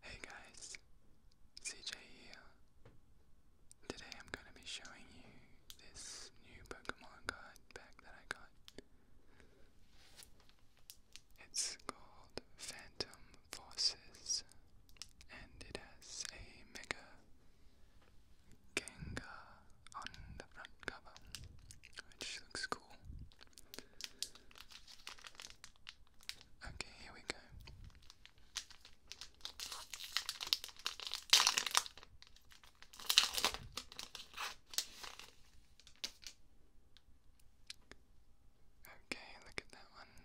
Hey guys, CJ here. Today I'm going to be showing you this new Pokemon card pack that I got. It's called Phantom Forces and it has a Mega Gengar on the front cover, which looks cool. Okay, here we go. Okay, look at that one.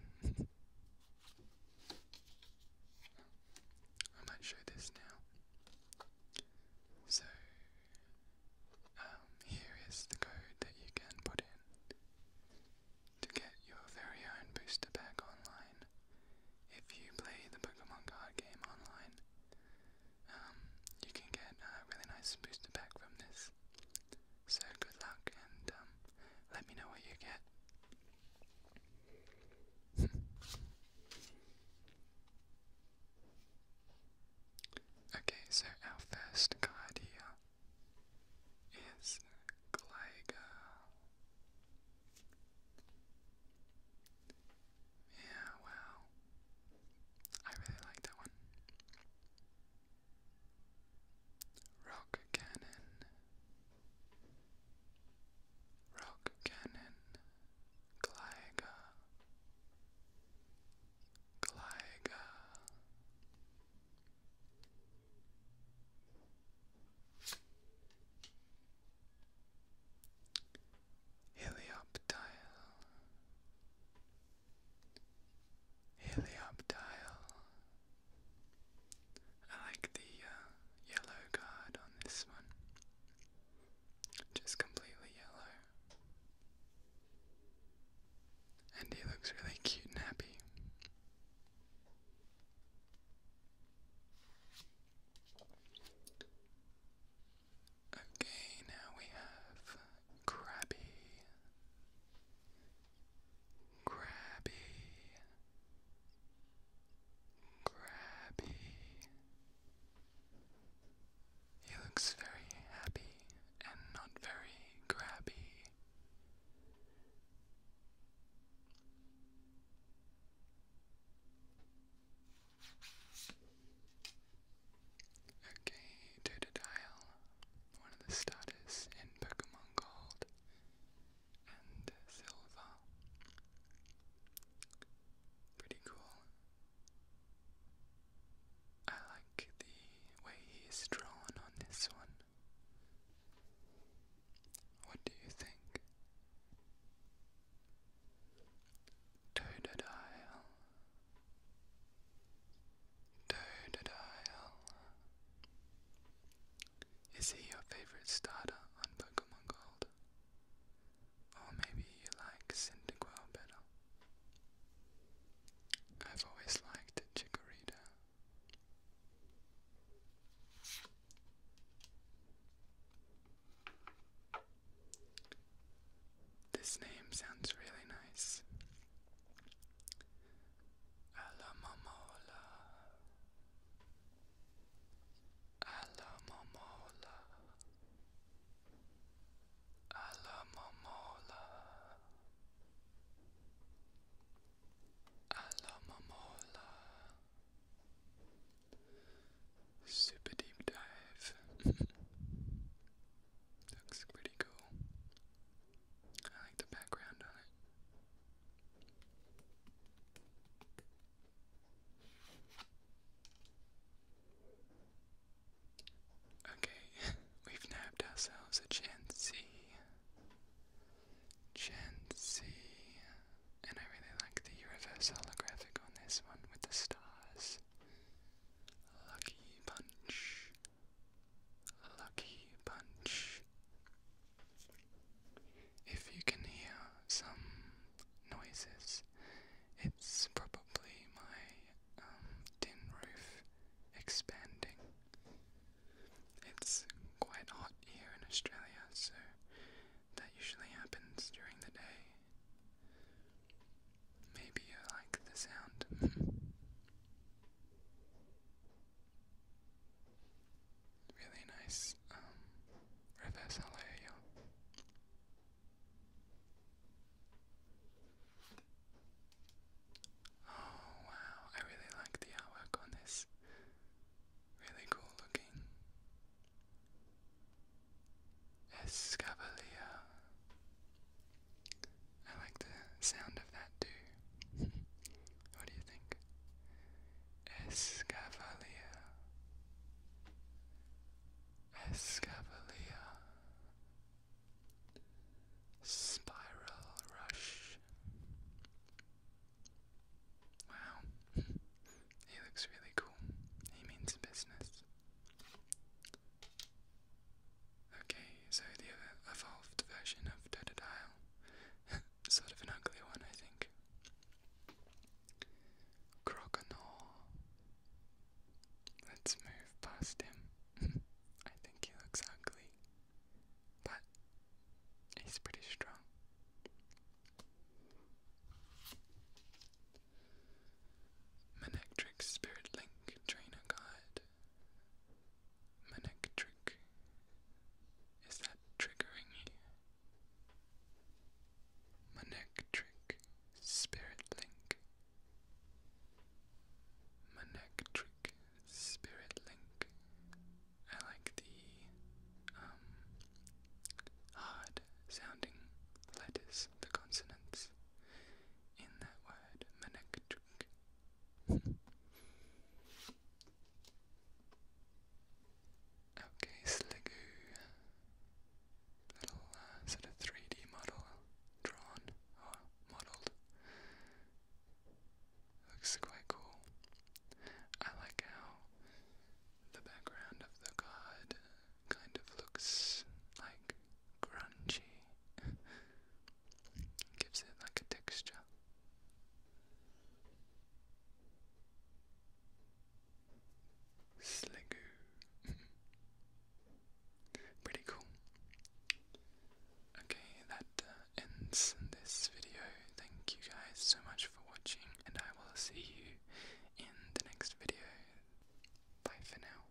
I might show this now. So, um, here is the code that you can put in to get your very own booster pack online. If you play the Pokemon card game online, um, you can get a really nice booster pack from this. So good luck and um, let me know what you get. Okay, so our first card here is Gligar. Yeah, wow. I really like that one. Rock cannon. Rock cannon. Gligar. Glyga. Helioptile. Helioptile. I like the uh, yellow guard on this one just completely yellow. And he looks really cute and happy. Okay, now we have Krabby. Krabby. Krabby. He looks very happy and not very grabby. Okay, Totodile, one of the starters in Pokemon Gold and Silver. Pretty cool. I like the way he drawn on this one. What do you think? Totodile. Totodile. Is he your favorite starter on Pokemon Gold? Or maybe you like Cyndaquil better. I've always liked Chikorita. This name sounds really nice. Alamomola. Alamomola Alamomola Alamomola Super deep dive. Looks pretty cool. I like the background on it. Okay, we've nabbed ourselves a Chansey. Chansey. And I really like the reverse holographic on this one with the stars. Lucky Punch. Lucky Punch. If you can hear some noises, it's probably my um, tin roof expanding. It's quite hot here in Australia, so that usually happens during the day. Maybe you like the sound. really nice um, reverse LAO. Oh wow, I really like the artwork on this. Really cool looking. Escavalier. I like the sound of that too what do you think? Escavalier. Escavalier. Spiral Rush. Wow, he looks really cool. He means business. Okay, so the evolved version of Totodile sort of an ugly one, I think. Crocodile. Let's move past him. I think he looks ugly, but he's pretty strong. Manectrix Spirit Link Trainer Guide my Is that triggering you? My spirit link. My spirit link. I like the um hard sounding letters, the consonants in that word, manektric okay, Sligoo. Little uh, sort of 3D model drawn or modelled. Looks quite cool. I like how the background of the god kind of looks like grungy. Gives it like a texture. Slegoo. Pretty cool. Okay, that uh, ends this video. Thank you guys so much for watching, and I will see you in the next video. Bye for now.